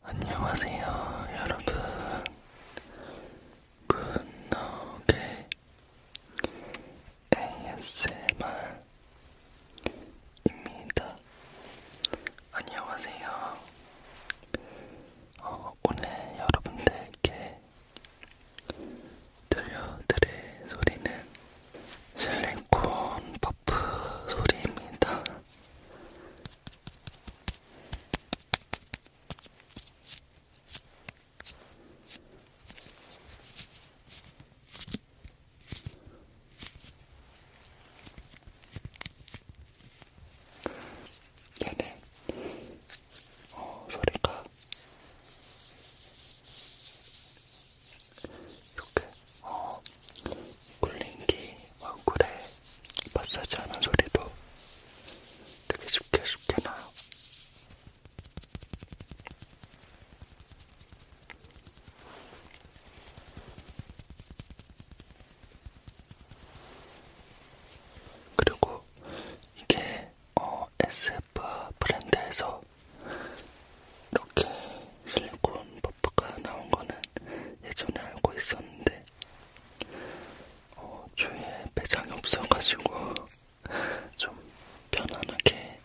안녕하세요, 여러분. 굿노게 ASMR입니다. 안녕하세요. 어, 오늘 여러분들께 들려드릴 소리는 실리콘 퍼프 소리입니다. 얘네 어, 소리가 이렇게 어, 굴링기 얼굴에 마사지하는 소리도 되게 쉽게 쉽게 나요. 그리고 이게 어, s 셀프 브랜드에서 이렇게 실리콘 퍼프가 나온 거는 예전에 알고 있었는데 어, 주위에 매장이 없어가지고 좀 편안하게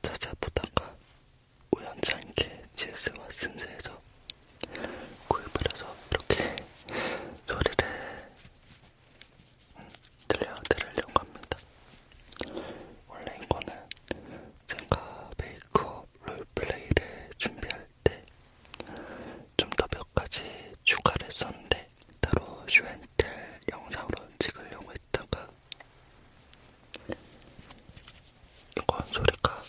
찾아보다가 우연찮게 GS와 순세에서 구입을 해서 이렇게 소리를 들려드리려고 합니다. 원래 이거는 제가 메이크업 롤플레이를 준비할 때 좀 더 몇 가지 추가를 썼는데 따로 슈엔텔 영상으로 찍으려고 했다가 이건 소리가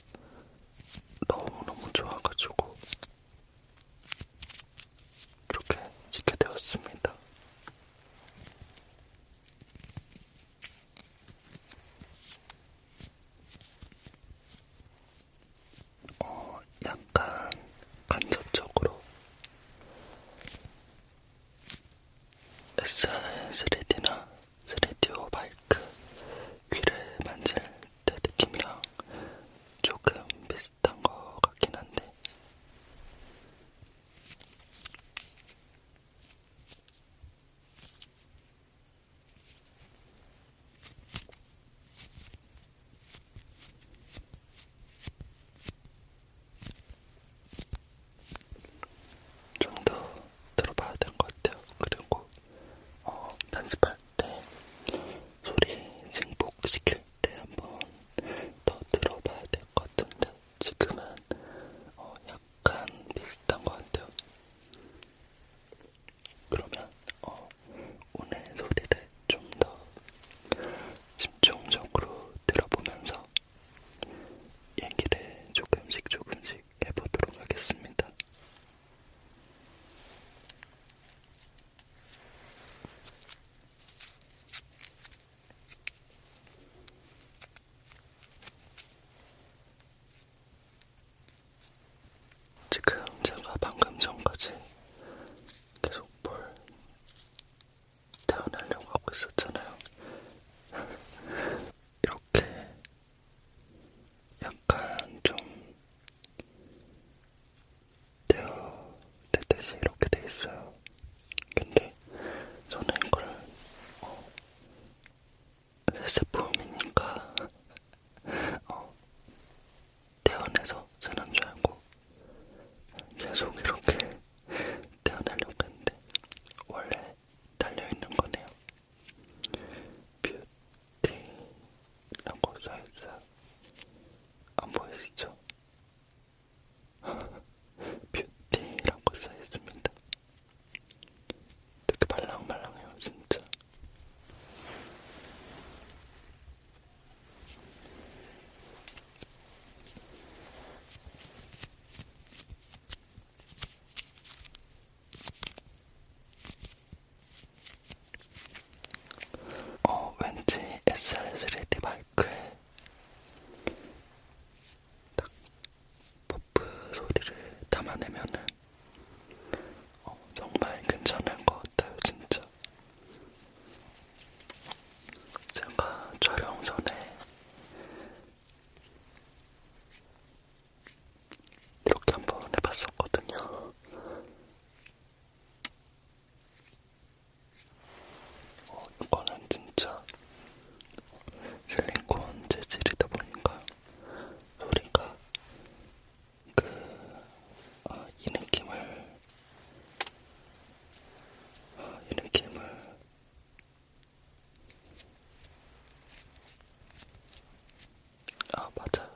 너무너무 좋아가지고 이렇게 찍게 되었습니다. 어, 약간 간접적으로 SR3D나 3DO 마이크 귀를 만질 때 느낌이랑 조금 비슷 비슷한 것 같긴 한데 좀 더 들어봐야 될 것 같아요. 그리고 어, 연습할 때 소리 승복시킬 때한번더 들어봐야 될 것 같은데 지금은 어 약간 비슷한 것 같아요. 그러면 어 오늘 소리를 좀 더 집중적으로 들어보면서 얘기를 조금씩 조금씩 해보도록 하겠습니다. 지금 제가 방금 전까지 계속 볼 태어나려고 하고 있었잖아요. 이렇게 약간 좀 되어되듯이 이렇게 돼 있어요. 근데 저는 이걸 어, 새 제품이니까 어, 떼어내서 쓰는 줄 알고 계속 이렇게 떼어내려고 했는데 원래 달려있는 거네요. 뷰티라고 써있어요. 안 보이시죠? 뷰티라고 써있습니다. 되게 말랑말랑해요, 진짜. 어, 왠지 SR3D 말 댓글 딱 버프 소리를 담아내면은 어, 정말 괜찮은 것 같아요, 진짜. 제가 촬영 전에 이렇게 한번 해봤었거든요. 어, 이거는 진짜 실리콘 재질이다 보니까 소리가 그, 아, 이 느낌을, 아, 이 느낌을 아 맞아,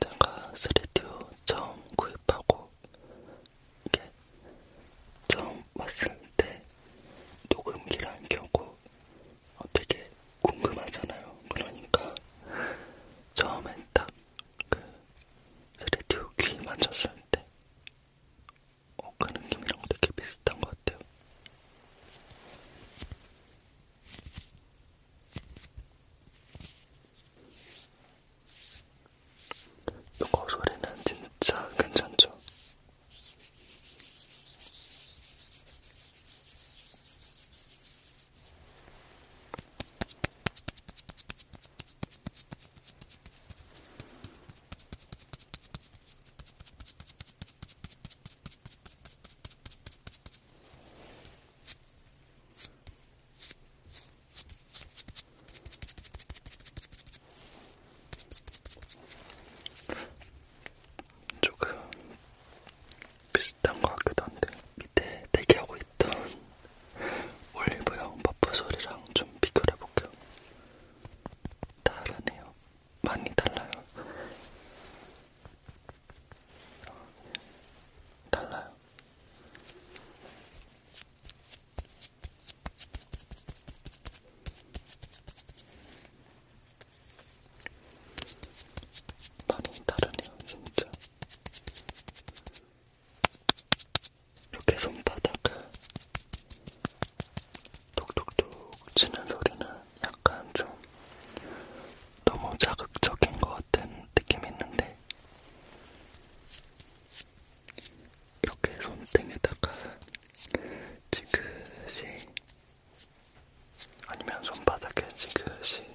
제가 3D 처음 구입하고 이게 처음 봤을 때 녹음기를 안 켜고 어, 되게 궁금하잖아요. 그러니까 처음엔 딱그 스튜디오 귀 만졌을 때 어, 그 느낌이랑 되게 비슷한 것 같아요. 이거 소리는 진짜 괜찮죠? 조금 비슷한 것 같기도 한데 밑에 대기하고 있던 올리브영 버프 소리랑 좀 비교를 해볼게요. 다르네요. 많이 달라요. 어, 달라요. 많이 다르네요, 진짜. 이렇게 손바닥을 톡톡톡 치는 소리는 약간 좀 너무 자극적인 것 같은 느낌이 있는데 이렇게 손등에다가 지그시 아니면 손바닥에 지그시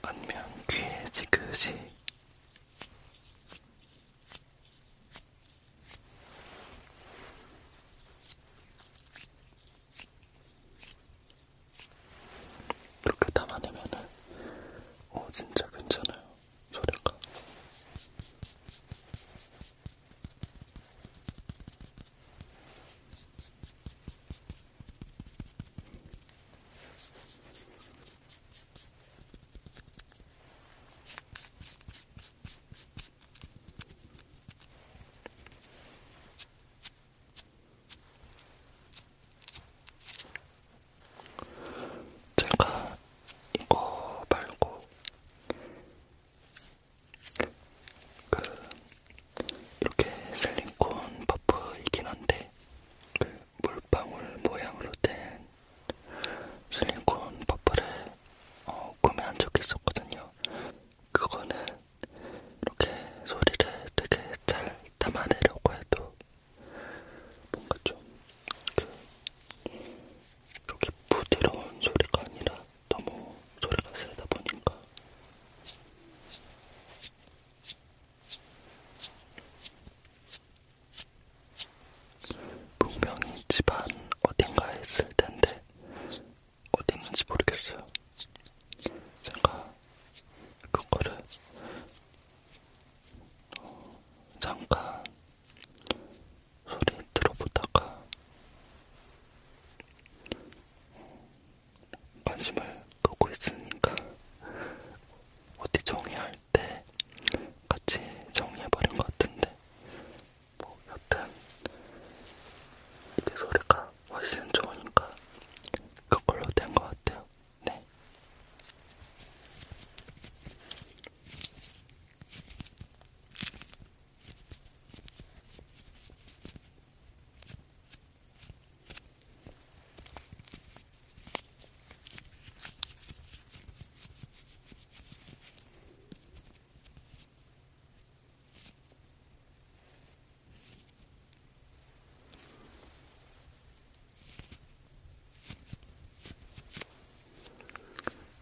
아니면 귀에 지그시 이렇게 담아내면은 어 진짜 괜찮아요 소리가 제가 이거 말고 그 이렇게 슬링콘 퍼프이긴 한데 그 물방울 모양으로 된 슬링콘 퍼프를 어, 구매한 적이 있었거든요. 그거는 이렇게 소리를 되게 잘 담아내려고 해도 뭔가 좀그 이렇게 부드러운 소리가 아니라 너무 소리가 세다 보니까 분명히 집안 어딘가에 있을 텐데 어디 있는지 모르겠어요. 제가 그거를 어, 잠깐 소리 들어보다가 관심을 끄고 있으니까 어디 정리할 때 같이 정리해버린 것 같은데 뭐 여튼 이게 그 소리가 훨씬 좋으니까 그걸로 된 것 같아요. 네.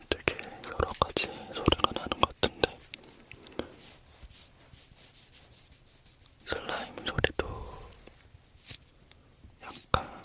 되게 여러 가지 소리가 나는 것 같은데 슬라임 소리도 약간 음.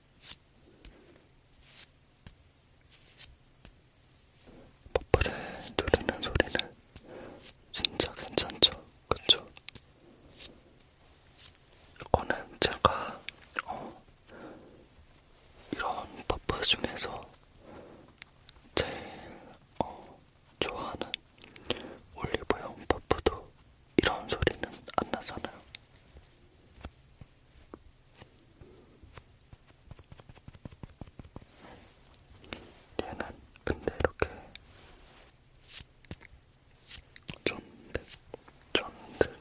버프를 누르는 소리는 진짜 괜찮죠? 그쵸? 이거는 제가 어, 이런 버프 중에서 제일 어, 좋아하는 올리브영 버프도 이런 소리는 안 나잖아요. 얘는 근데 이렇게 쫀득 쫀득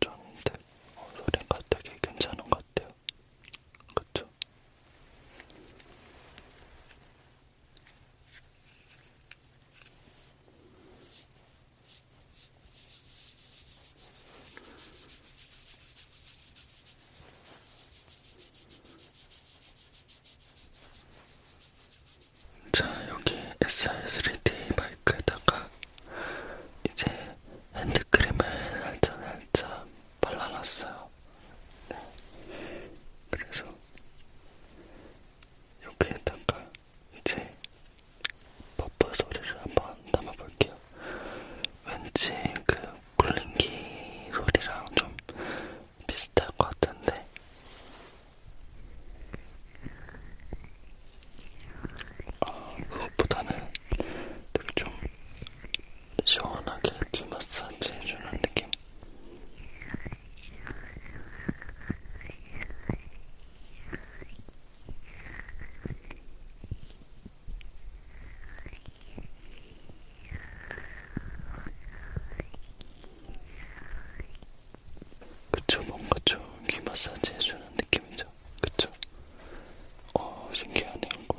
쫀득 어, 소리가 되게 괜찮은 것 같아요. 그쵸? 자, 여기 SR3D 마이크에다가 이제 핸드크림을 살짝 살짝 발라놨어요. 네. 그래서 여기에다가 이제 버퍼 소리를 한 번 담아볼게요. 왠지 그 굴링기 소리랑 좀 비슷할 것 같은데. 어, 그것보다는 되게 좀 시원하게 귀 마사지 해주는 느낌? 그쵸, 뭔가 좀 귀 마사지 해주는 느낌이죠. 그쵸? 어, 신기하네요, 이거.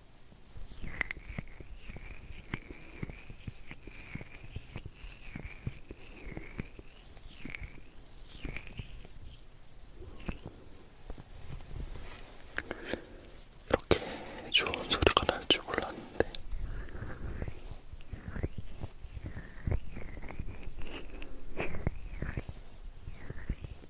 이렇게 좋은 소리가 날 줄 몰랐는데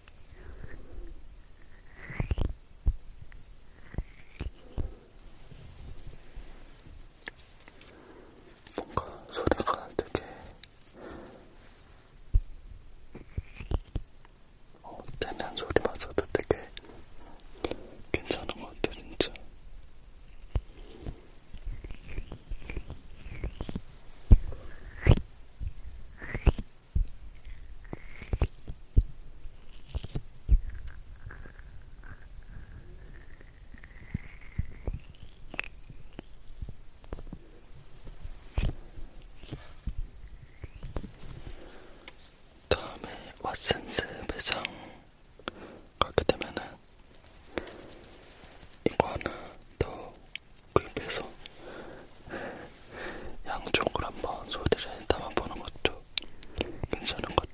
뭔가 소리가 되게 어, 되는 소리마저도 되게 괜찮은 것 같아, 진짜. 다음에 왓슨스 매장 가게 되면은 이거 하나 더 구입해서 양쪽을 한번 소리를 담아보는 것도 괜찮은 것 같아요.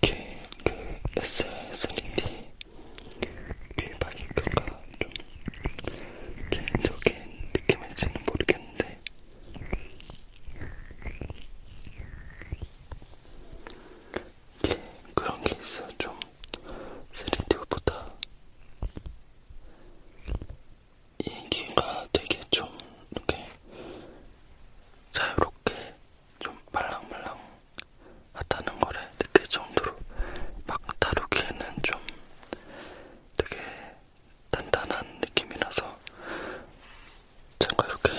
이게 그 SSD 귀박인가가 그 좀 개인적인 느낌일지는 모르겠는데 이게 그런 게 있어 좀 3D보다 이 귀가 되게 좀 이렇게 자유롭게 좀 말랑말랑 하다는 거를 느낄 그 정도로 막 다루기에는 좀 되게 단단한 느낌이라서 제가 이렇게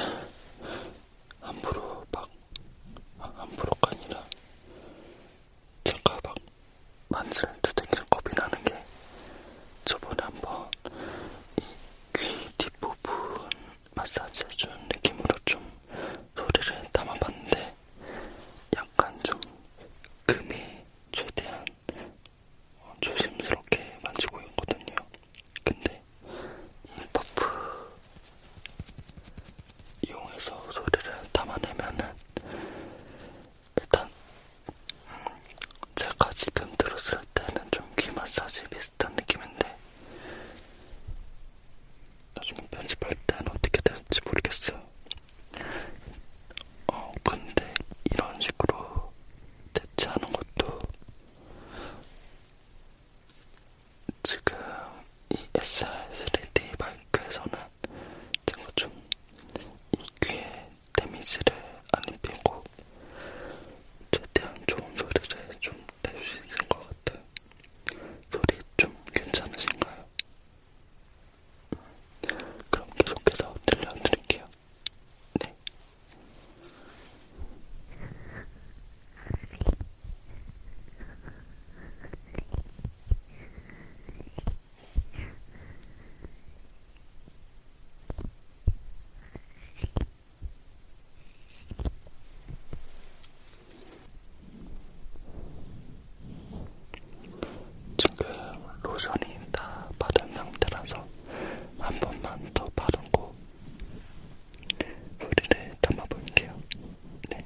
함부로 막 함부로가 아니라 제가 막 만질 때 되게 겁이 나는 게 저번에 한번 이 귀 뒷부분 마사지 해준 느낌으로 좀 소리를 담아봤는데 약간 좀 금이 최대한 조심스럽게 만지고 있거든요. 근데 이 퍼프 이용해서 소리를 담아내면은 일단 음 제가 지금 들었을 때는 좀 귀 마사지 비슷한 느낌인데 나중에 편집할 때는 어떻게 될지 모르겠어요. 어 근데 이런 식으로 대체하는 것도 지금 이 SR3D 마이크에서는 제가 좀 이 귀에 데미지를 안 입히고 최대한 좋은 소리를 좀낼수 있을 것 같아요. 소리 좀 괜찮으신가요? 그럼 계속해서 들려드릴게요. 네. 지금 로션이 다 바른 상태라서 한 번만 더 바르고 소리를 담아볼게요. 네.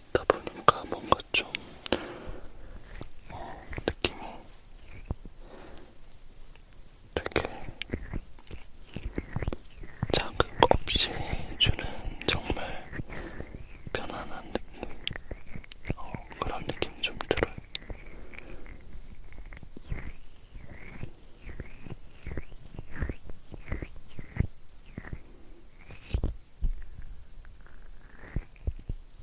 듣다 보니까 뭔가 좀 어, 느낌이 되게 자극 없이 주는 정말 편안한 느낌 어, 그런 느낌 좀 들어요.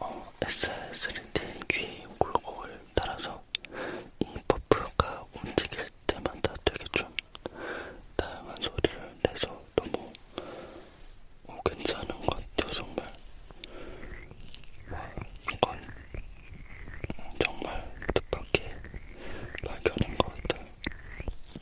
어, SR3D 귀 굴곡을 따라서 이 퍼프가 움직일 때마다 되게 좀 다양한 소리를 내서 너무 어, 괜찮은 것 같아요, 정말. 와, 이건 정말 뜻밖의 발견인 것 같아요.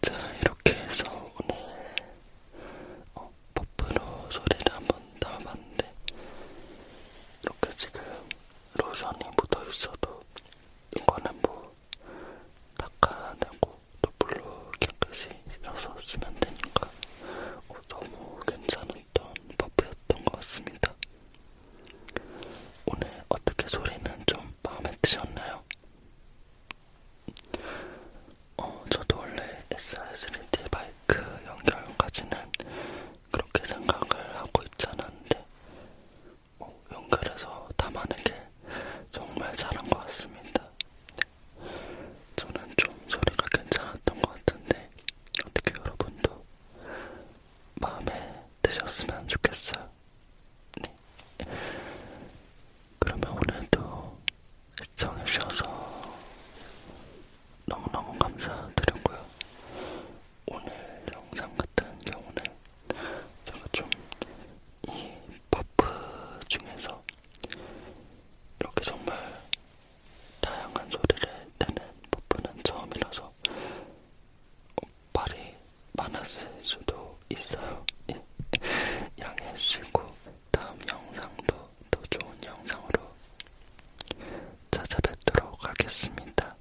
자, 이렇게 해서 오늘 어, 버프로 소리를 한번 담아봤는데 이렇게 지금 로션이 묻어있어도 이거는 뭐 닦아내고 또 물로 깨끗이 씻어서 쓰면 되니까 어, 너무 괜찮았던 퍼프였던 것 같습니다. 오늘 어떻게 소리는 좀 마음에 드셨나요? 어, 저도 원래 SR3D 발그 연결까지는 그렇게 생각을 하고 있지 않았는데 뭐 연결해서 담아내게 정말 잘한 것 같습니다. 네. 저는 좀 소리가 괜찮았던 것 같은데 어떻게 여러분도 마음에 드셨으면 좋겠어요. 네. 그러면 오늘도 시청해주셔서 너무너무 감사드리고요. 오늘 영상 같은 경우는 제가 좀이 퍼프 중에서 이렇게 정말 다양한 소리를 내는 퍼프는 처음이라서 말이 많았을 수도 있어요. 예. 양해해 주시고 다음 영상도 더 좋은 영상으로 찾아뵙도록 하겠습니다.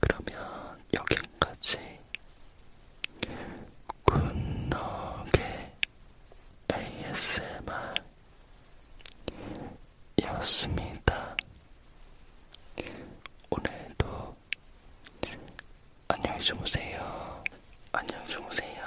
그러면 여기까지 굿너게 ASMR이었습니다. 오늘도 안녕히 주무세요. 안녕히 주무세요.